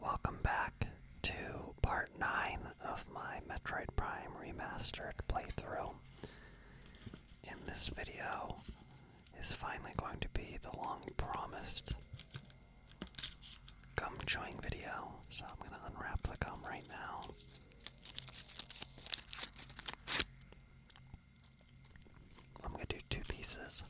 Welcome back to part 9 of my Metroid Prime Remastered playthrough. In this video is finally going to be the long promised gum chewing video, so I'm going to unwrap the gum right now. I'm going to do two pieces.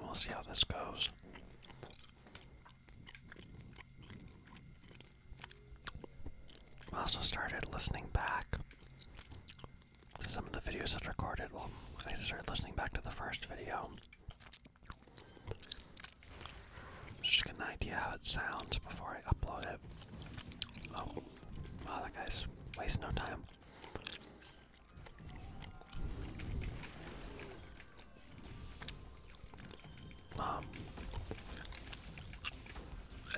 We'll see how this goes. I also started listening back to some of the videos I recorded. Well, I started listening back to the first video. Just to get an idea how it sounds before I upload it. Oh, wow, that guy's wasting no time. Um,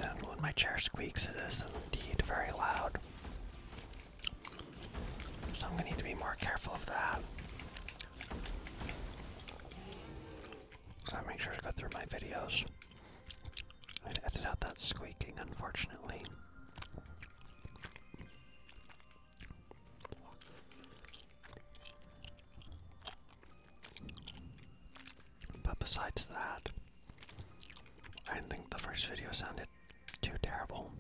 and when my chair squeaks, it is indeed very loud. So I'm going to need to be more careful of that. So I make sure to go through my videos and edit out that squeaking, unfortunately. But besides that, I think the first video sounded too terrible.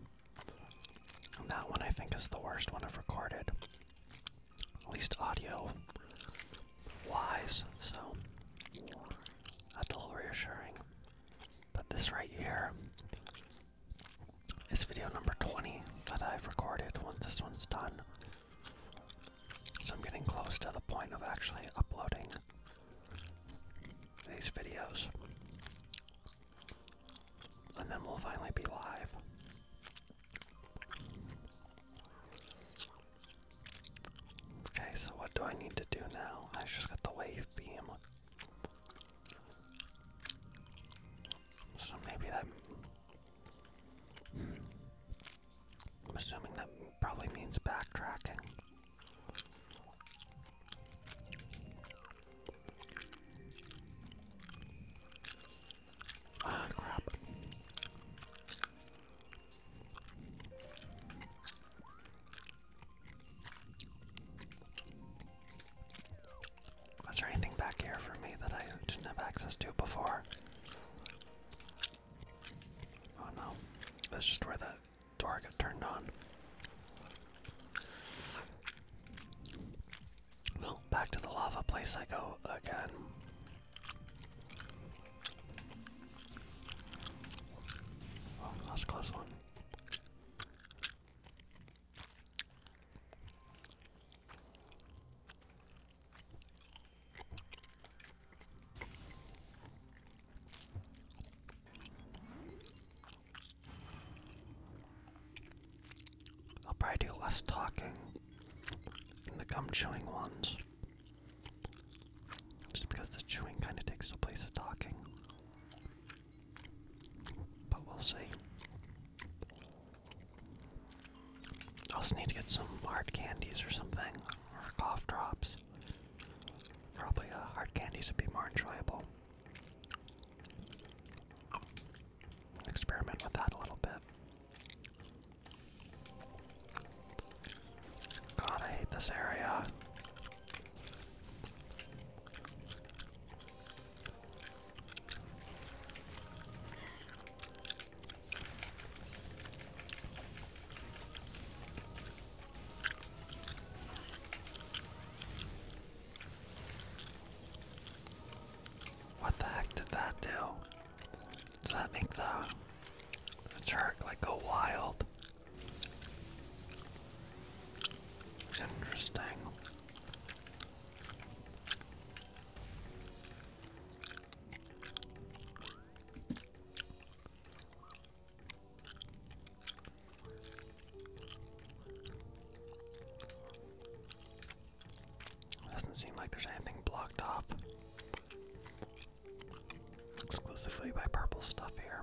And that one I think is the worst one I've recorded. At least audio wise, so that's a little reassuring. But this right here is video number 20 that I've recorded once this one's done. So I'm getting close to the point of actually uploading these videos. And then we'll finally be live. Okay, so what do I need to do now? I just got the wave beam. So maybe that. I'm assuming that probably means backtracking. Ah, crap. Was there anything back here for me that I didn't have access to before? Oh no, that's just where that door got turned on. Well, back to the lava place I go again. Oh, that close one. I'll probably do less talking than the gum chewing ones. Just because the chewing kind of takes the place of talking. But we'll see. I also need to get some hard candies or something, or cough drops. Probably uh, hard candies would be more enjoyable. Experiment with that a little bit. God, I hate this area. What the heck did that do? Did that make the the like go wild? interesting. Doesn't seem like there's anything blocked off exclusively by purple stuff here.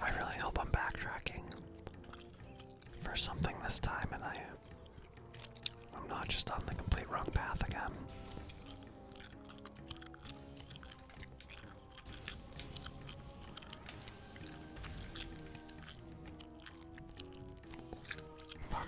I really hope I'm backtracking for something this time and I I'm not just on the complete wrong path again. Fuck.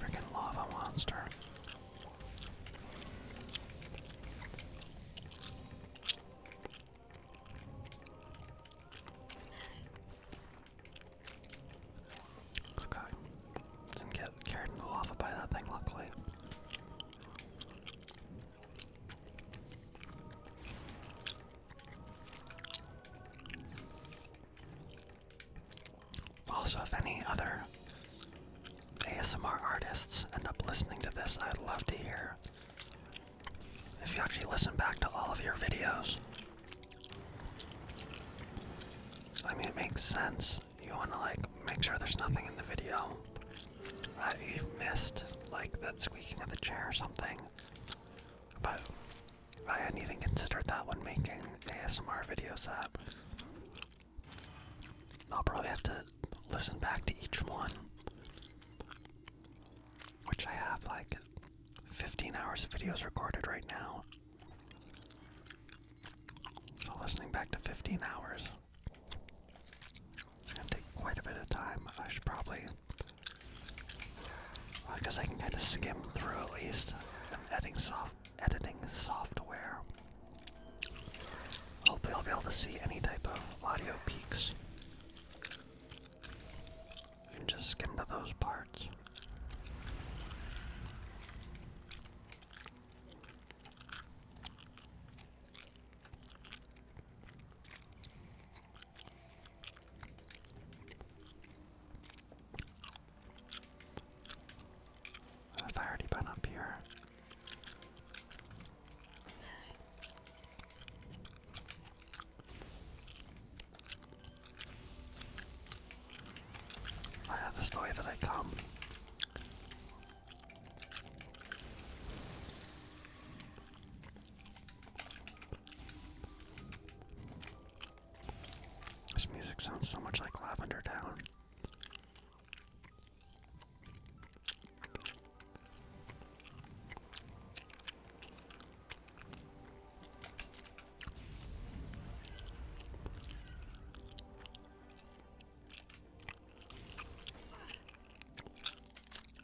Freaking lava monster. Okay. Didn't get carried away by that thing, luckily. Also, if any other ASMR artists end up listening to this, I'd love to hear if you actually listen back to all of your videos I mean, it makes sense. You want to like make sure there's nothing in the video I have missed, like that squeaking of the chair or something. But I hadn't even considered that when making ASMR videos. I'll probably have to listen back to each one, which I have like 15 hours of videos recorded right now. So listening back to 15 hours, it's gonna take quite a bit of time. I should probably, well, I guess I can kind of skim through at least. I'm editing soft editing software. Hopefully, I'll be able to see any type of audio peaks. You just skim to those parts. Have I already been up here? I have that's the way that I come. This music sounds so much like Lavender Town.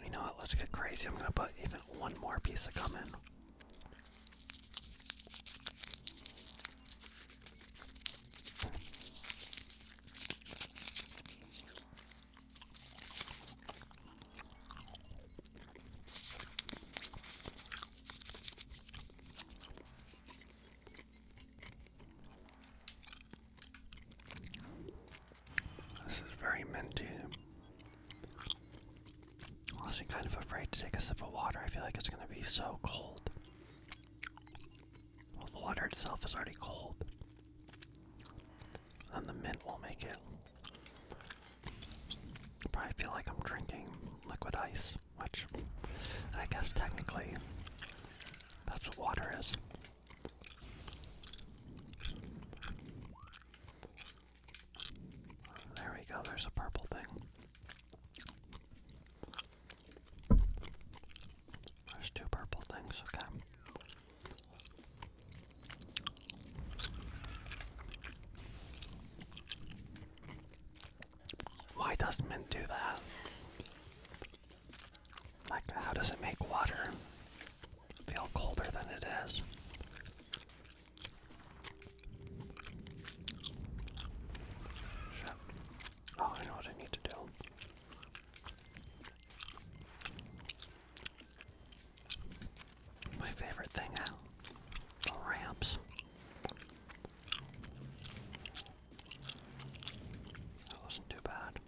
You know what? Let's get crazy. I'm gonna put even one more piece of gum in. This is very minty. Honestly, kind of afraid to take a sip of water. I feel like it's gonna be so cold. Well, the water itself is already cold, and the mint will make it I feel like I'm drinking liquid ice, which I guess technically that's what water is. There we go, there's a purple thing. There's two purple things, okay. Why does mint do that? Like, how does it make water feel colder than it is? Oh, I know what I need to do my favorite thing out the ramps. That wasn't too bad.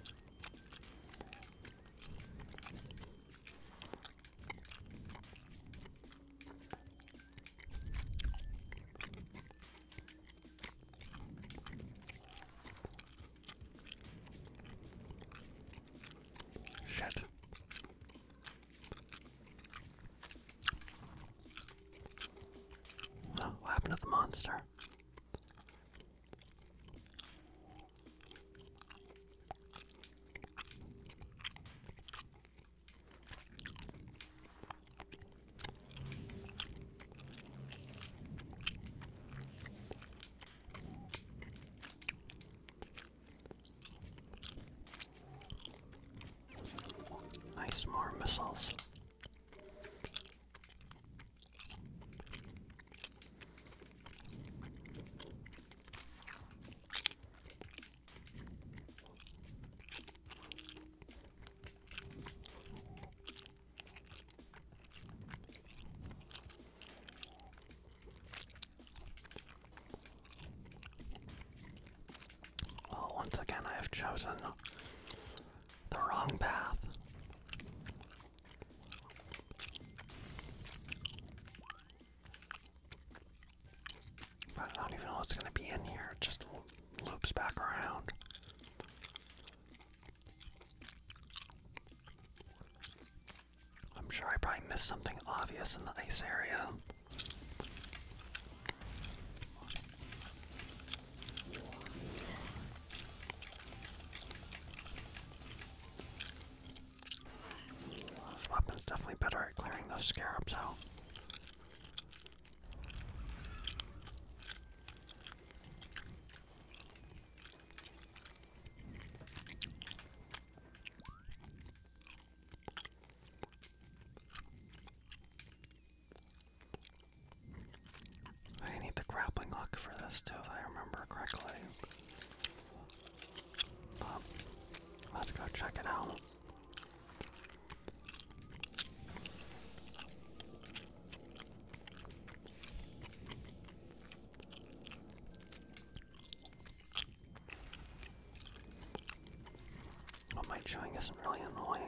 Shit what happened to the monster? Nice more missiles. Well, oh, once again, I have chosen the wrong path. I don't even know what's going to be in here, just loops back around. I'm sure I probably missed something obvious in the ice area. This weapon's definitely better at clearing those scarabs out. I need the grappling hook for this too, I remember correctly. let's go check it out. What my chewing isn't really annoying.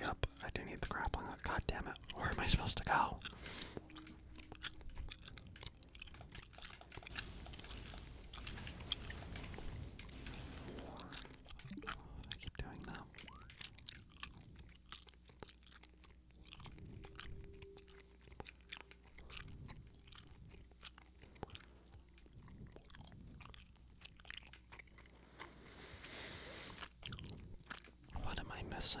Yep, I do need the grappling hook. God damn it, where am I supposed to go? I keep doing that. What am I missing?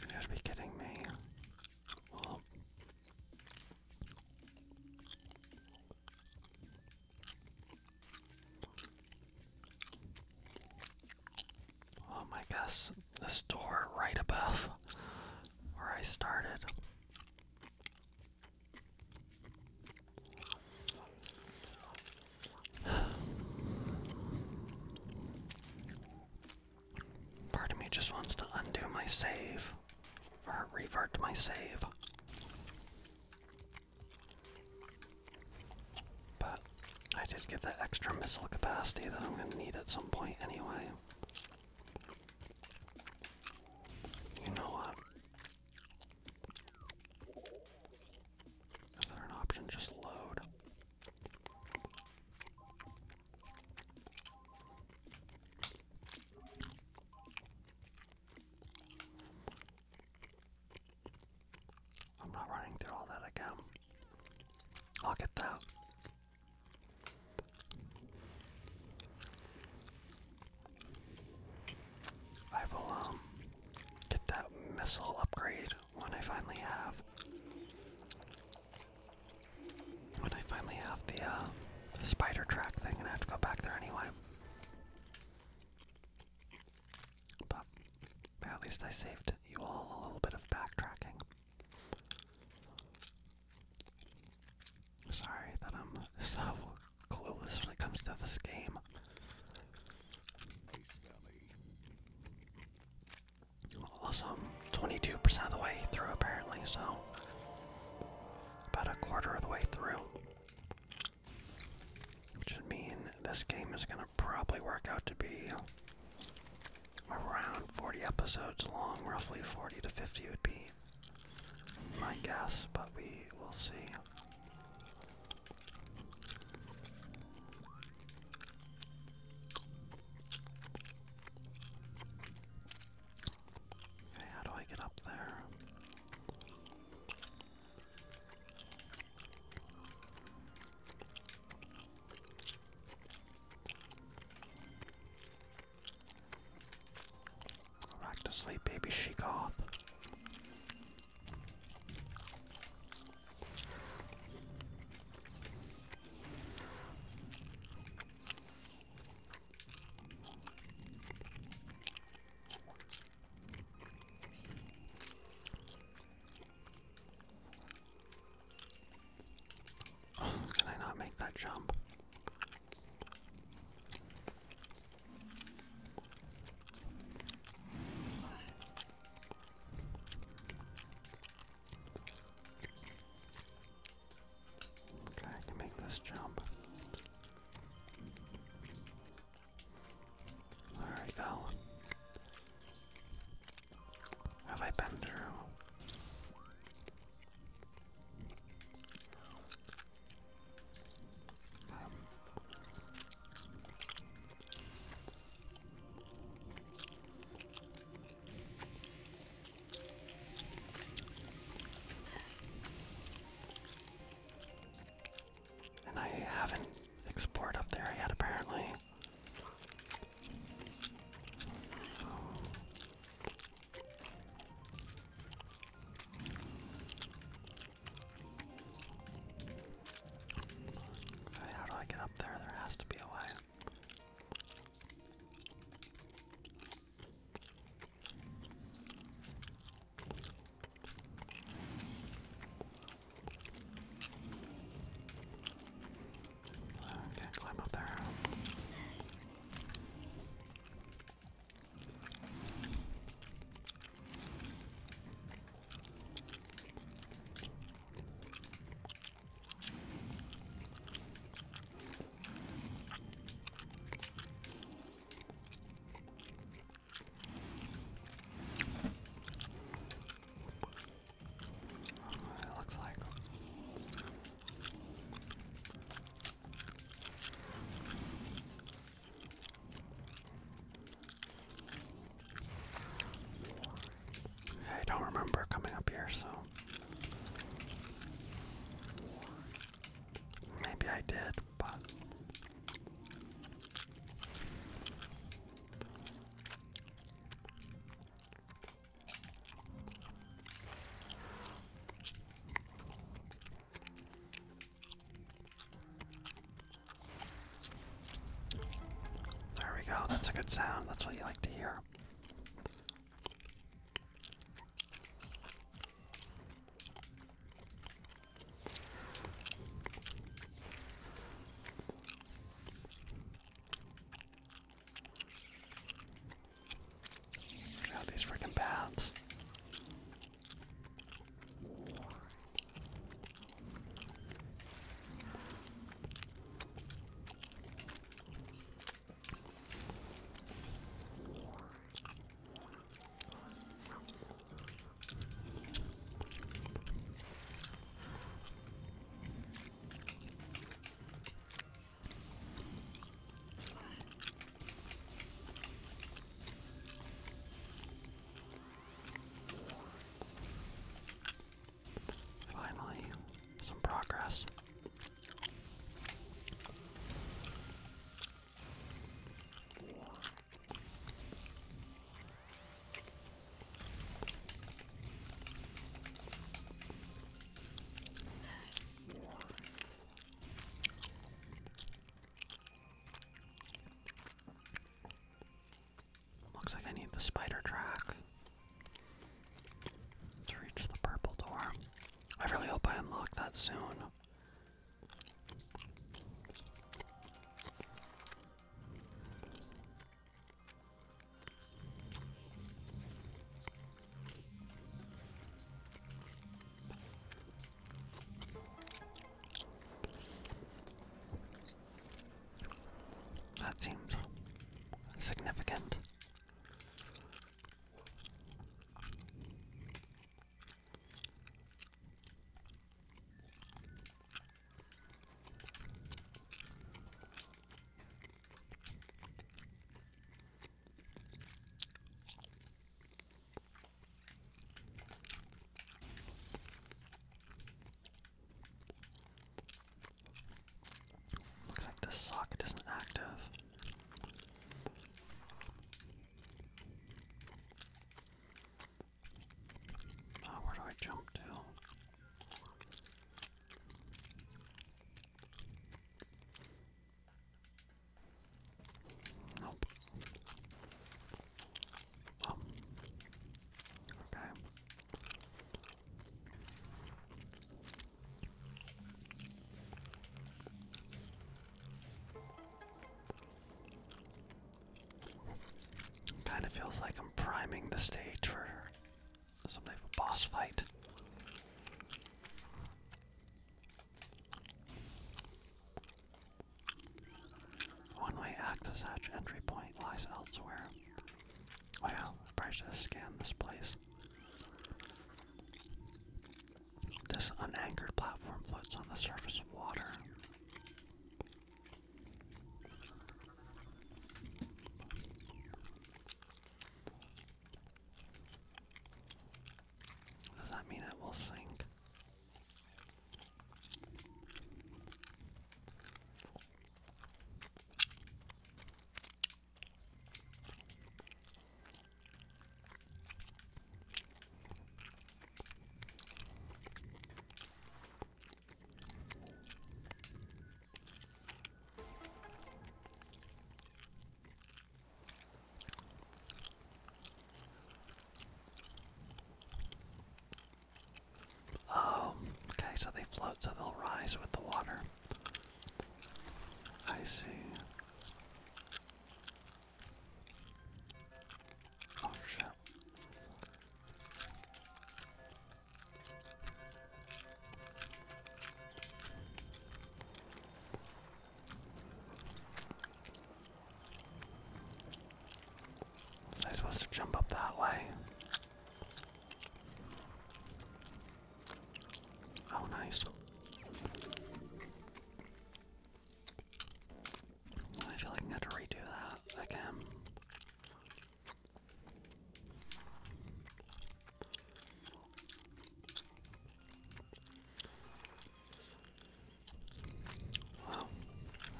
You gotta be kidding me. Well, Oh my gosh, this door right above where I started. Part of me just wants to undo my save or revert my save. But I did get that extra missile capacity that I'm going to need at some point anyway. You know what? Is there an option just load? I'm not running through all that again. I'll get that. I will um get that missile upgrade when I finally have when I finally have the uh spider track thing and I have to go back there anyway. But at least I saved you all a little bit of backtracking. Sorry that I'm so clueless when it comes to this game. Also, 22% of the way through apparently, so about a quarter of the way through. Which would mean this game is going to probably work out to be around 40 episodes long, roughly 40 to 50 would be my guess, but we will see. Okay, how do I get up there? back to sleep, baby she goth can I not make that jump? Okay, I can make this jump. There we go. Have I been through? And I haven't explored up there yet, apparently. how do I get up there? There has to be a way. Okay, climb up there. It looks like. I don't remember coming up here, so Maybe I did, but there we go. That's a good sound. That's what you like to hear. Look at these freaking paths. Finally, some progress. Looks like I need the spider track to reach the purple door. I really hope I unlock that soon. That seems significant. Looks like this socket isn't active. Oh, where do I jump to? Nope. Oh. Okay. Kind of feels like I'm priming the stage for some type of boss fight. One way access entry point lies elsewhere. Wow, I probably should have this place. This unanchored platform floats on the surface of water. Does that mean it will sink? Oh, okay, so they float, so they'll rise with the water. I see. Oh shit. i supposed to jump up that way. Oh, nice. I feel like I'm going to redo that again. Wow,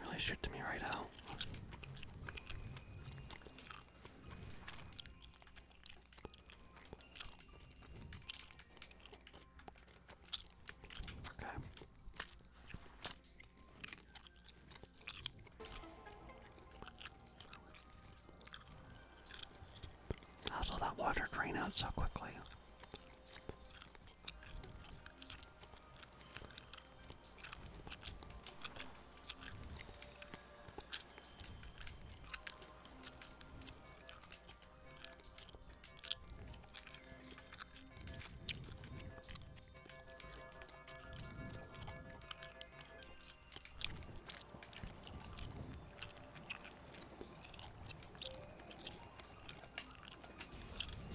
really shoot me right out. How does that water drain out so quickly?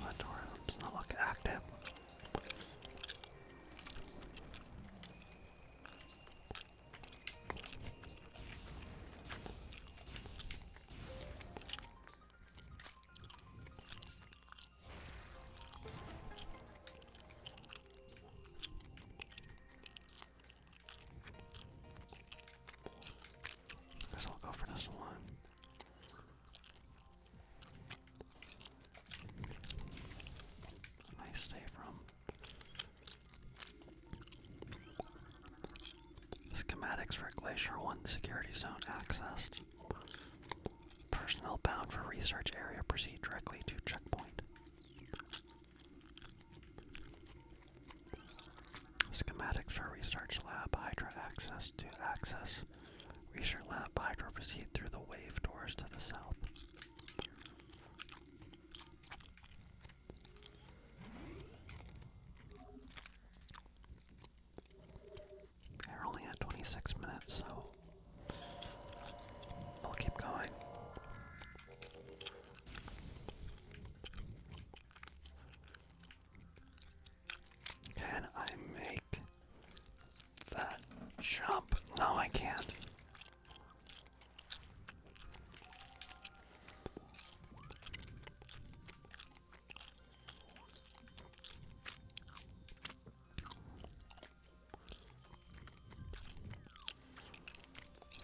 Latorum does not look active. Guess I'll go for this one. Nice save from Schematics for Glacier 1 security zone accessed. Personnel bound for research area proceed directly to checkpoint. Schematics for Research Lab Hydra access to access. Research Lab Hydra proceed through the wave doors to the south. We're only at 26 minutes, so we'll keep going. Can I make that jump? No, I can't.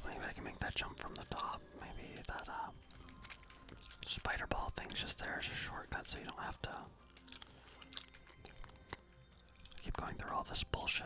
Maybe I can make that jump from the top. Maybe that uh, spider ball thing's just there as a shortcut so you don't have to keep going through all this bullshit.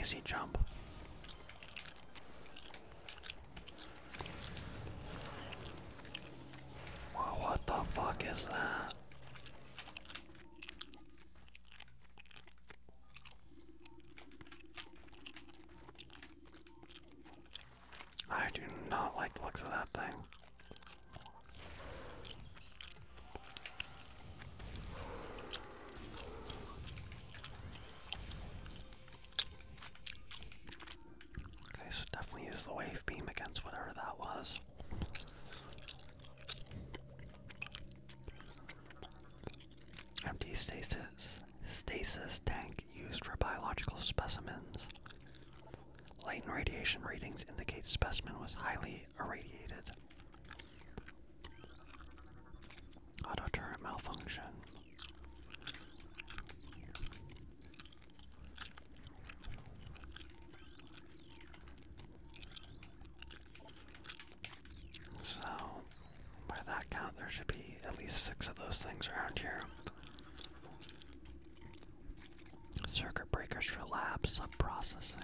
Easy jump. what the fuck is that? I do not like the looks of that thing. Okay, so definitely use the wave beam against whatever that was. Empty stasis stasis tank used for biological specimens. Light and radiation readings indicate specimen was highly irradiated. Autoturret malfunction. So, by that count, there should be at least six of those things around here. Circuit breakers relapse. sub-processing.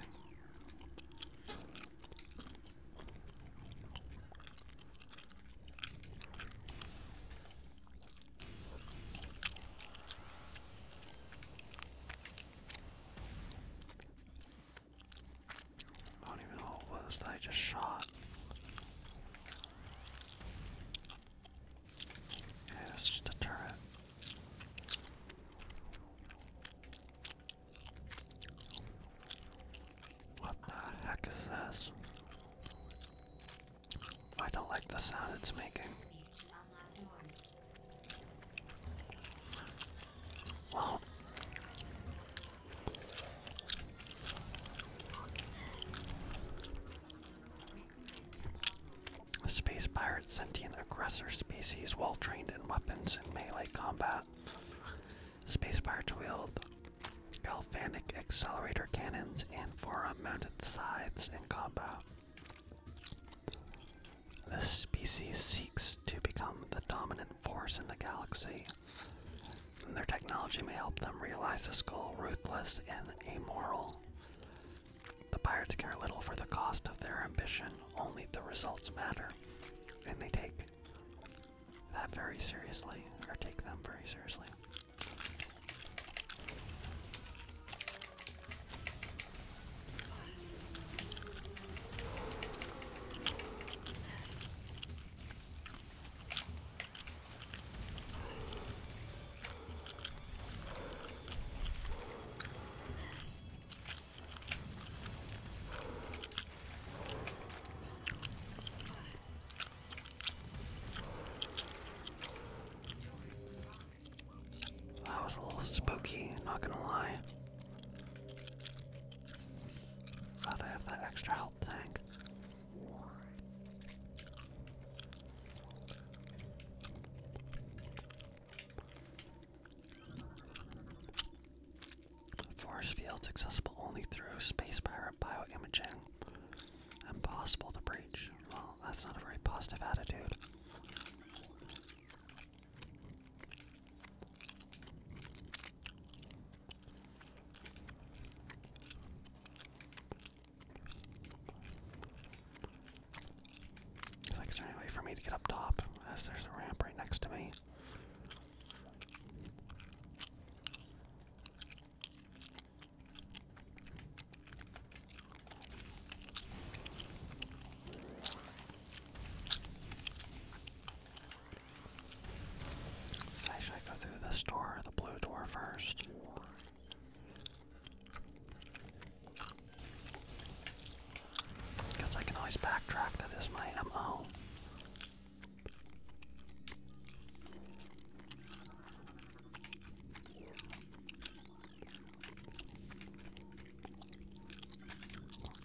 I don't even know what was that I just shot. Yeah, that's just a turret. What the heck is this? I don't like the sound it's making. Well, Space pirate sentient aggressor species well trained in weapons and melee combat. Space pirates wield galvanic accelerator cannons and forearm mounted scythes in combat. This species seeks to become the dominant force in the galaxy, and their technology may help them realize this goal ruthless and amoral. The pirates care little for the cost of their ambition, only the results matter. And they take that very seriously, or take them very seriously. That was a little spooky, not gonna lie. Glad I have that extra health tank. Force fields accessible only through space pirate bioimaging. Impossible to breach. Well, that's not a very positive attitude is there any way for me to get up top? As there's a ramp right next to me. So should I go through this door, the blue door first? Because I can always backtrack, that is my MO.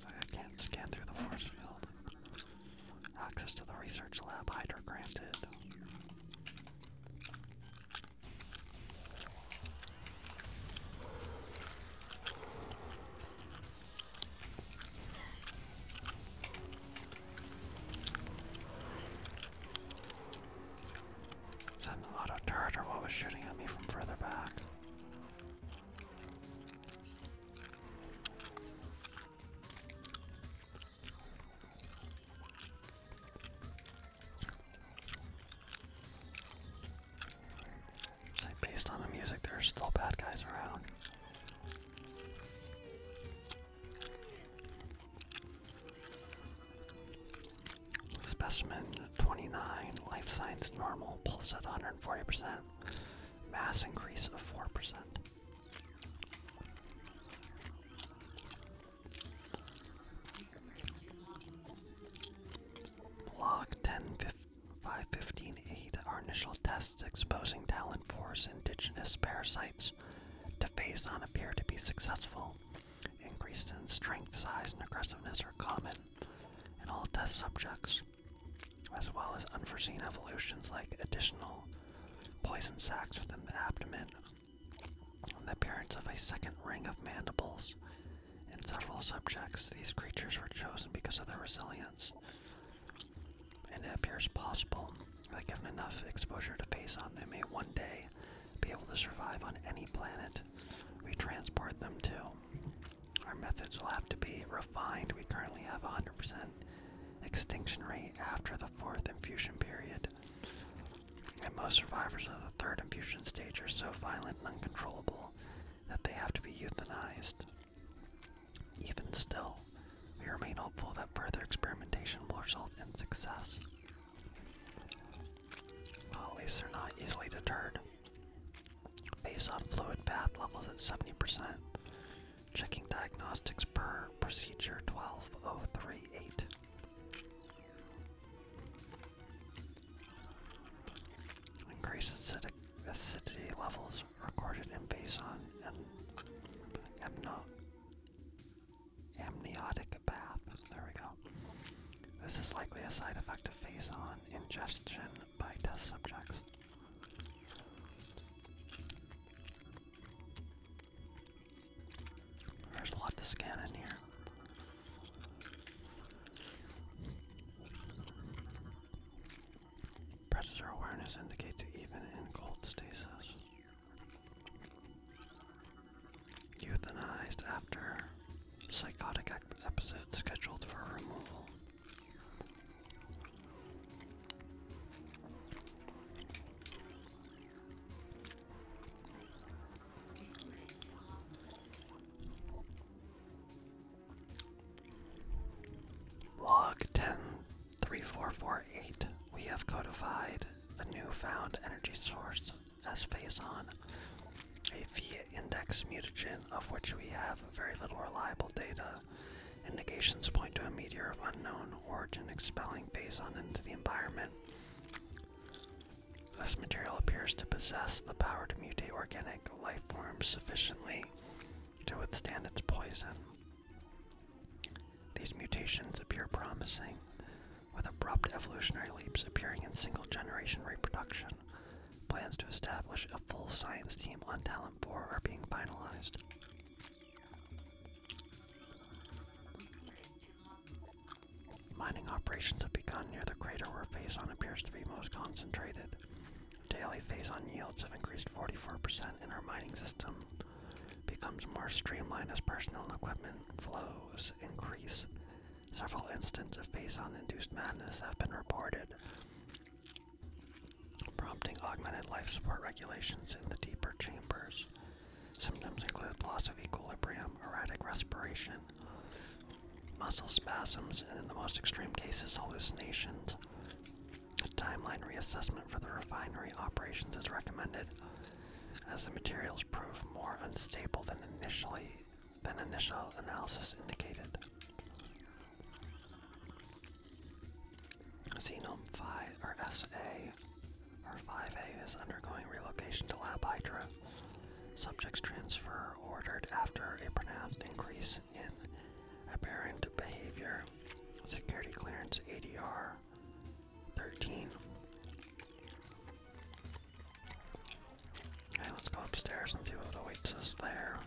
I can't scan through the force field. Access to the research lab, Hydra granted. Is that an auto turret or what was shooting at me from further back? based on the music, there are still bad guys around. Specimen 29, life signs normal, pulse at 140%, mass increase of 4%. Log 10515.8 Our initial tests exposing Talon Force indigenous parasites to phase on appear to be successful. Increases in strength, size, and aggressiveness are common in all test subjects, as well as unforeseen evolutions like additional poison sacs within the abdomen the appearance of a second ring of mandibles. In several subjects, these creatures were chosen because of their resilience, and it appears possible that given enough exposure to face on, they may one day be able to survive on any planet we transport them to. Our methods will have to be refined. We currently have a 100% extinction rate after the fourth infusion period and most survivors of the third infusion stage are so violent and uncontrollable that they have to be euthanized. Even still, we remain hopeful that further experimentation will result in success. Well, at least they're not easily deterred. Based on fluid bath levels at 70%, checking diagnostics per procedure 12038. Increased acidic acidity levels recorded in Baison and amno amniotic bath. There we go. This is likely a side effect of face on ingestion by test subjects. There's a lot to scan in here. Predator awareness indicates even in cold stasis. Euthanized after psychotic episode scheduled for removal. Log 103448. We have codified the new found energy source as phase a V index mutagen of which we have very little reliable data. Indications point to a meteor of unknown origin expelling phazon into the environment. This material appears to possess the power to mutate organic life forms sufficiently to withstand its poison. These mutations appear promising, with abrupt evolutionary leaps appearing in single generation reproduction. Plans to establish a full science team on Talon 4 are being finalized. Mining operations have begun near the crater where face-on appears to be most concentrated. Daily face-on yields have increased 44% in our mining system becomes more streamlined as personnel and equipment flows increase. Several instances of face-on induced madness have been reported, prompting augmented life support regulations in the deeper chambers. Symptoms include loss of equilibrium, erratic respiration, muscle spasms, and in the most extreme cases, hallucinations. A timeline reassessment for the refinery operations is recommended, as the materials prove more unstable than initially than initial analysis indicated. Xenome 5 or SA or 5A is undergoing relocation to Lab Hydra. Subjects transfer ordered after a pronounced increase in aberrant behavior. Security clearance ADR 13. Okay, let's go upstairs and see what awaits us there.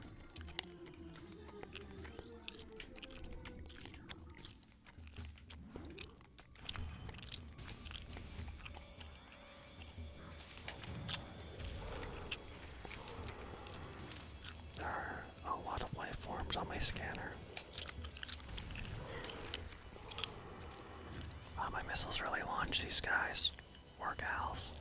There are a lot of life forms on my scanner. Wow, my missiles really launch these guys. Or gals.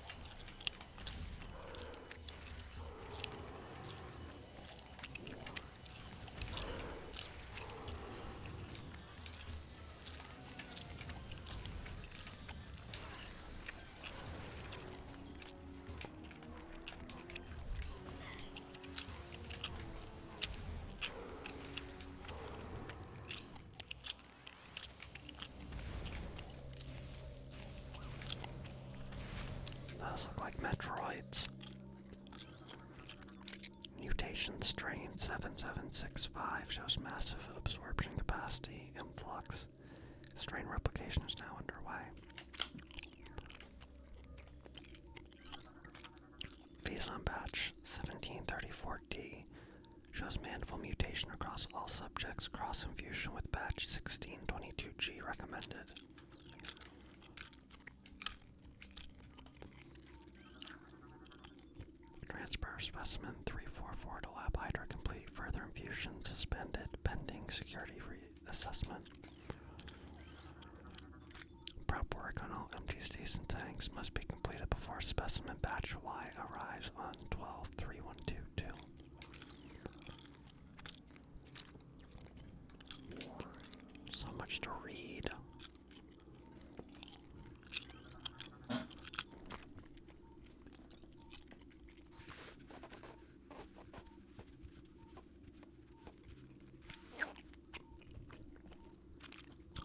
Those look like Metroids. Mutation strain 7765 shows massive absorption capacity influx. Strain replication is now underway. Faison batch 1734D shows mandible mutation across all subjects. Cross infusion with batch 1622G recommended. Transfer specimen 344 to Lab Hydra complete. Further infusion suspended pending security reassessment. Prep work on all empty station tanks must be completed before specimen batch Y arrives on 12 3122. So much to read.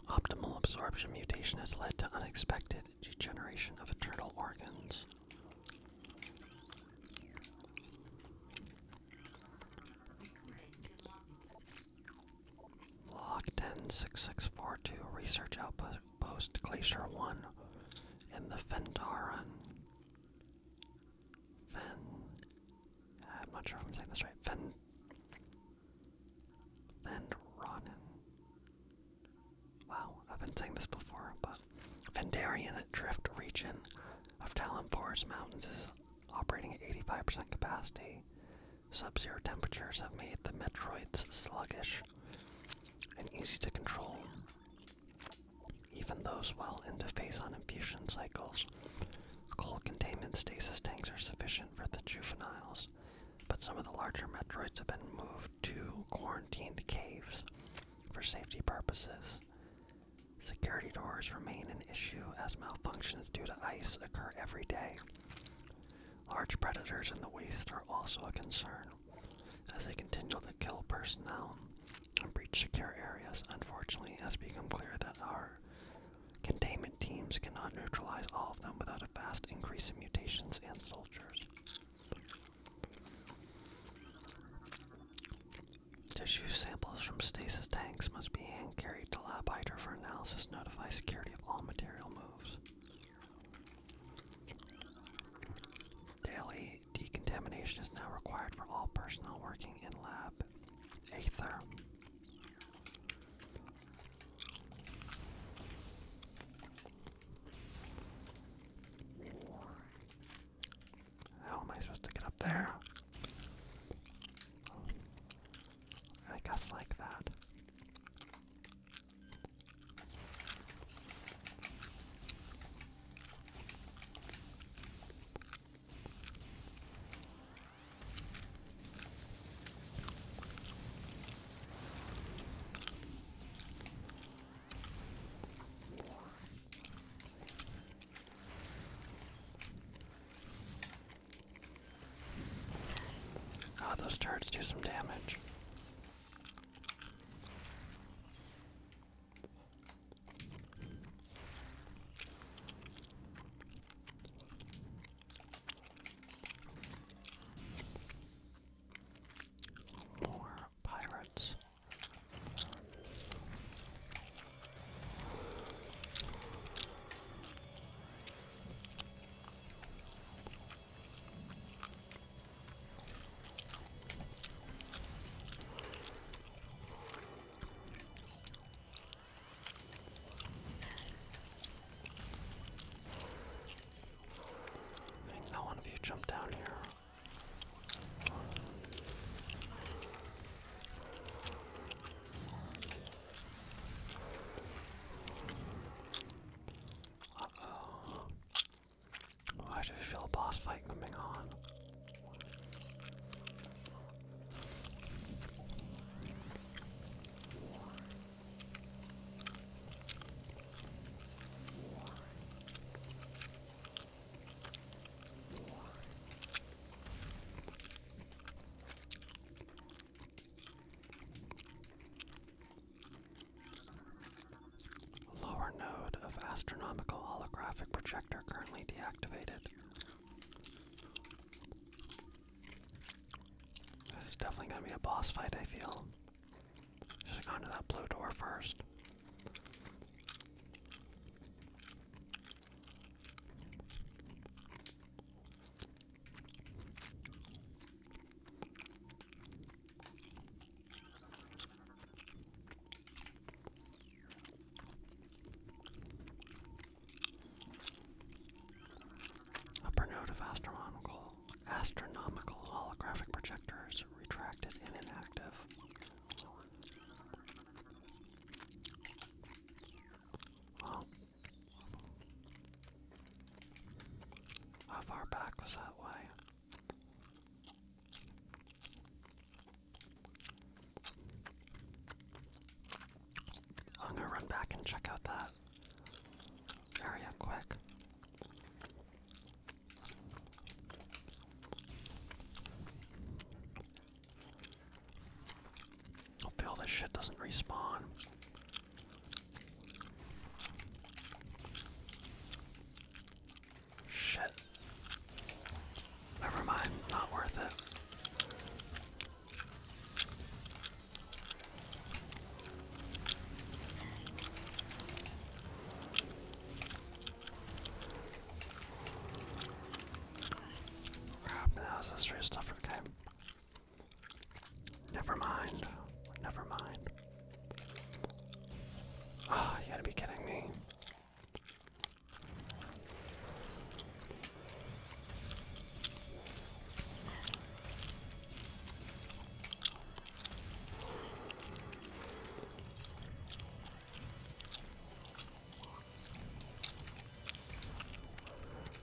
Optimal absorption mutation has led to unexpected degeneration of internal organs. Log six six four two Research Outpost Glacier 1 in the Fendaran. Fend. I'm not sure if I'm saying this right. Fend. Fendranen. Wow, I've been saying this before, but Fendarian Drift region of Talon Forest Mountains is operating at 85% capacity Sub-zero temperatures have made the Metroids sluggish and easy to control. Even those well into phase-on infusion cycles, cold containment stasis tanks are sufficient for the juveniles, but some of the larger Metroids have been moved to quarantined caves for safety purposes. Security doors remain an issue as malfunctions due to ice occur every day. Large predators in the waste are also a concern, as they continue to kill personnel and breach secure areas. Unfortunately, it has become clear that our containment teams cannot neutralize all of them without a vast increase in mutations and soldiers. Tissue samples from stasis tanks must be carried to Lab Hydra for analysis. Notify security of all material moves. Daily decontamination is now required for all personnel working in Lab Aether. How am I supposed to get up there? I guess like that. Ah, those turrets do some damage. More pirates. I think not one of you jumped down here. Uh oh. oh. I just feel a boss fight coming on. Lower node of astronomical holographic projector currently deactivated. This is definitely gonna be a boss fight, I feel. Should have gone that blue door first. Upper note of astronomical astronomical holographic projectors retracted and inactive. How far back was that way? I'm gonna run back and check out that area quick. Hopefully all this shit doesn't respawn. Shit. Never mind, not worth it. Crap, now is this stuff okay? Never mind. Never mind. Ah, oh, you gotta be kidding me.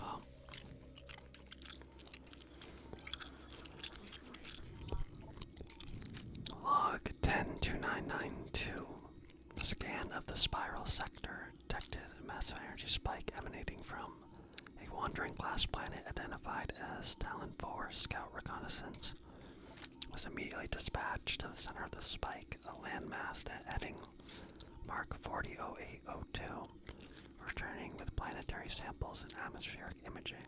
Wow. Log 1029992. Scan of the spiral sector detected a massive energy spike emanating from a wandering glass planet identified as Talon 4 Scout Reconnaissance. Was immediately dispatched to the center of the spike, a landmass at heading Mark 400802, returning with planetary samples and atmospheric imaging.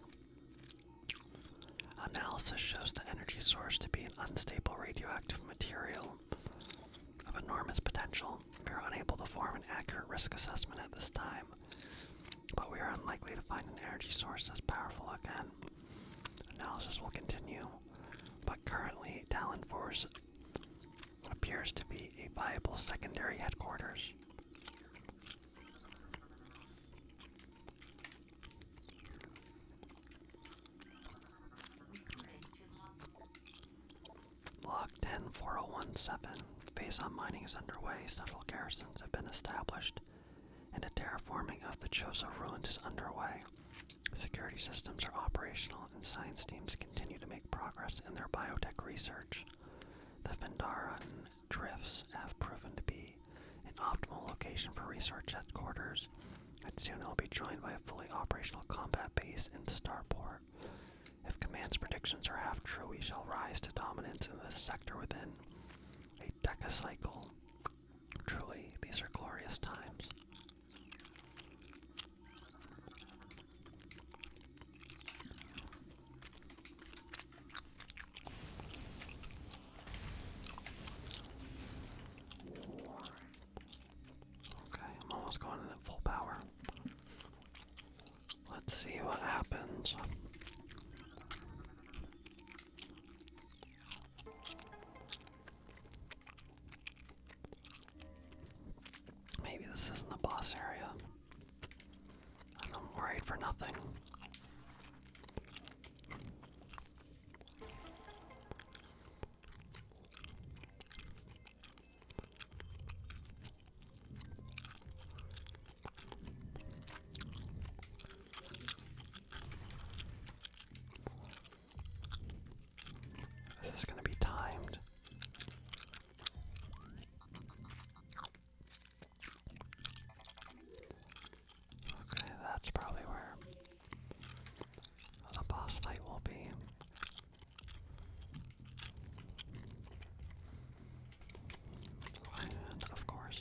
Analysis shows the energy source to be an unstable radioactive material of enormous potential. We are unable to form an accurate risk assessment at this time, but we are unlikely to find an energy source as powerful again. Analysis will continue, but currently Talon Force appears to be a viable secondary headquarters. Log 104017. Phase on mining is underway, several garrisons have been established, and a terraforming of the Chosa ruins is underway. Security systems are operational, and science teams continue to make progress in their biotech research. The Vendaran drifts have proven to be an optimal location for research headquarters, and soon it'll be joined by a fully operational combat base in Starport. If Command's predictions are half true, we shall rise to dominance in this sector within a decacycle. Truly, these are glorious times. Okay, I'm almost going in full power. Let's see what happens. Maybe this isn't the boss area. And I'm worried for nothing. This is going to be timed. Okay, that's probably where the boss fight will be. And of course.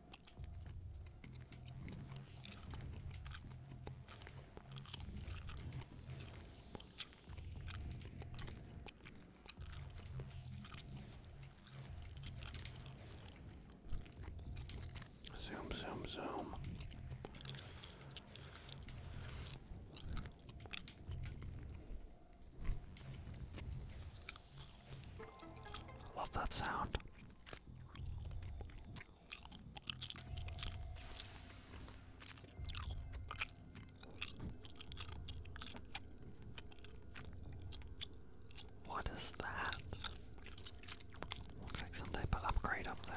Zoom, zoom, zoom. Love that sound. What is that? Looks like some type of upgrade up there.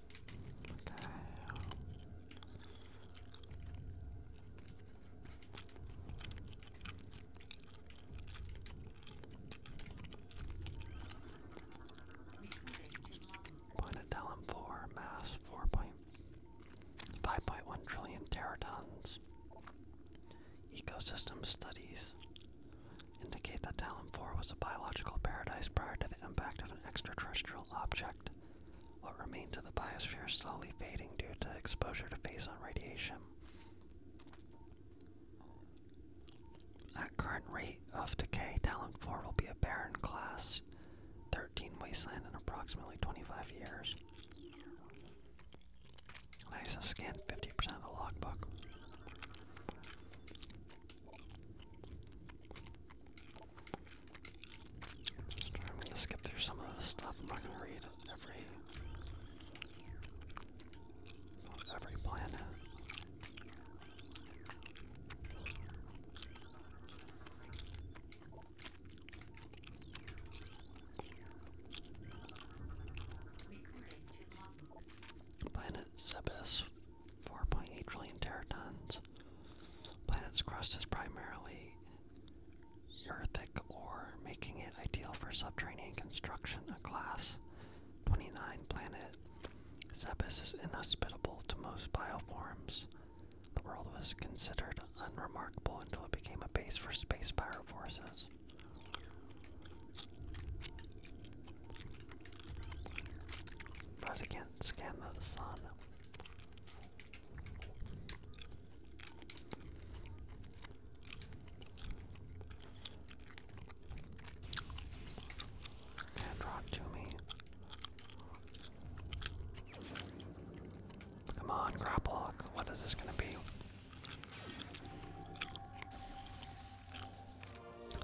What the mass 4.5.1 trillion teratons. Ecosystem studies indicate that Talon 4 was a biological paradise prior to the impact of an extraterrestrial object, what remains of the biosphere is slowly fading due to exposure to phazon radiation. At current rate of decay, Talon 4 will be a barren class 13 wasteland in approximately 25 years. I've scanned 50% of the logbook. I'm gonna skip through some of this stuff. I'm not gonna read every every planet. Planet Zebes, 4.8 trillion teratons. Planet's crust is primarily earthic or making it ideal for subterranean construction. A class 29 planet, Zebes is inhospitable to most bioforms. The world was considered unremarkable until it became a base for space power forces. But I can't scan the sun. Hand rock to me. Come on, grapple. What is this gonna be?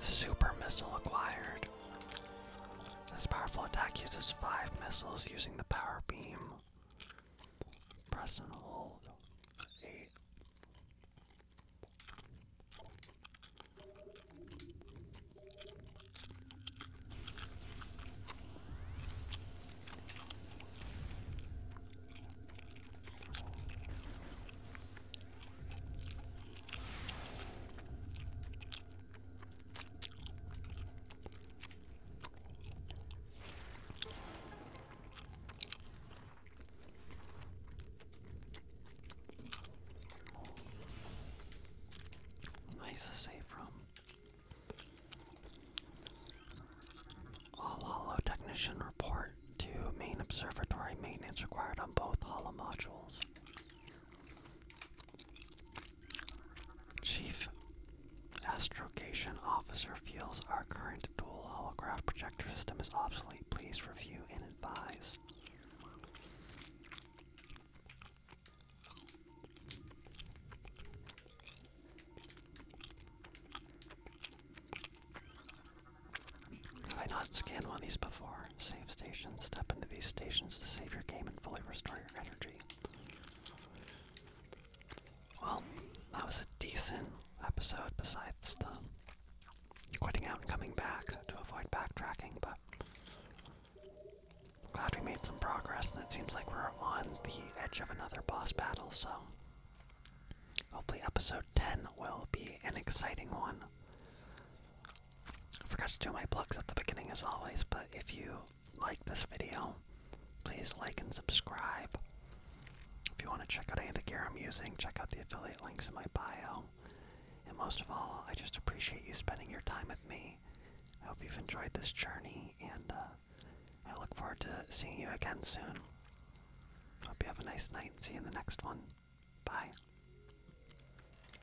Super missile acquired. Lord. This powerful attack uses five missiles using the power beam. Press and hold. Eight. Nice to save from. All holo technician report to main observatory maintenance required on both holo modules. Chief Astrogation Officer feels our current dual holograph projector system is obsolete. Please review and advise. Have I not scanned one of these before? Save stations. Step into these stations to save your game and fully restore your energy. Well, that was a decent episode besides the quitting out and coming back to avoid backtracking, but glad we made some progress and it seems like we're on the edge of another boss battle, so hopefully episode 10 will be an exciting one. I forgot to do my plugs at the beginning as always, but if you like this video, please like and subscribe. If you want to check out any of the gear I'm using, check out the affiliate links in my bio. And most of all, I just appreciate you spending your time with me. I hope you've enjoyed this journey, and uh, I look forward to seeing you again soon. Hope you have a nice night and see you in the next one. Bye.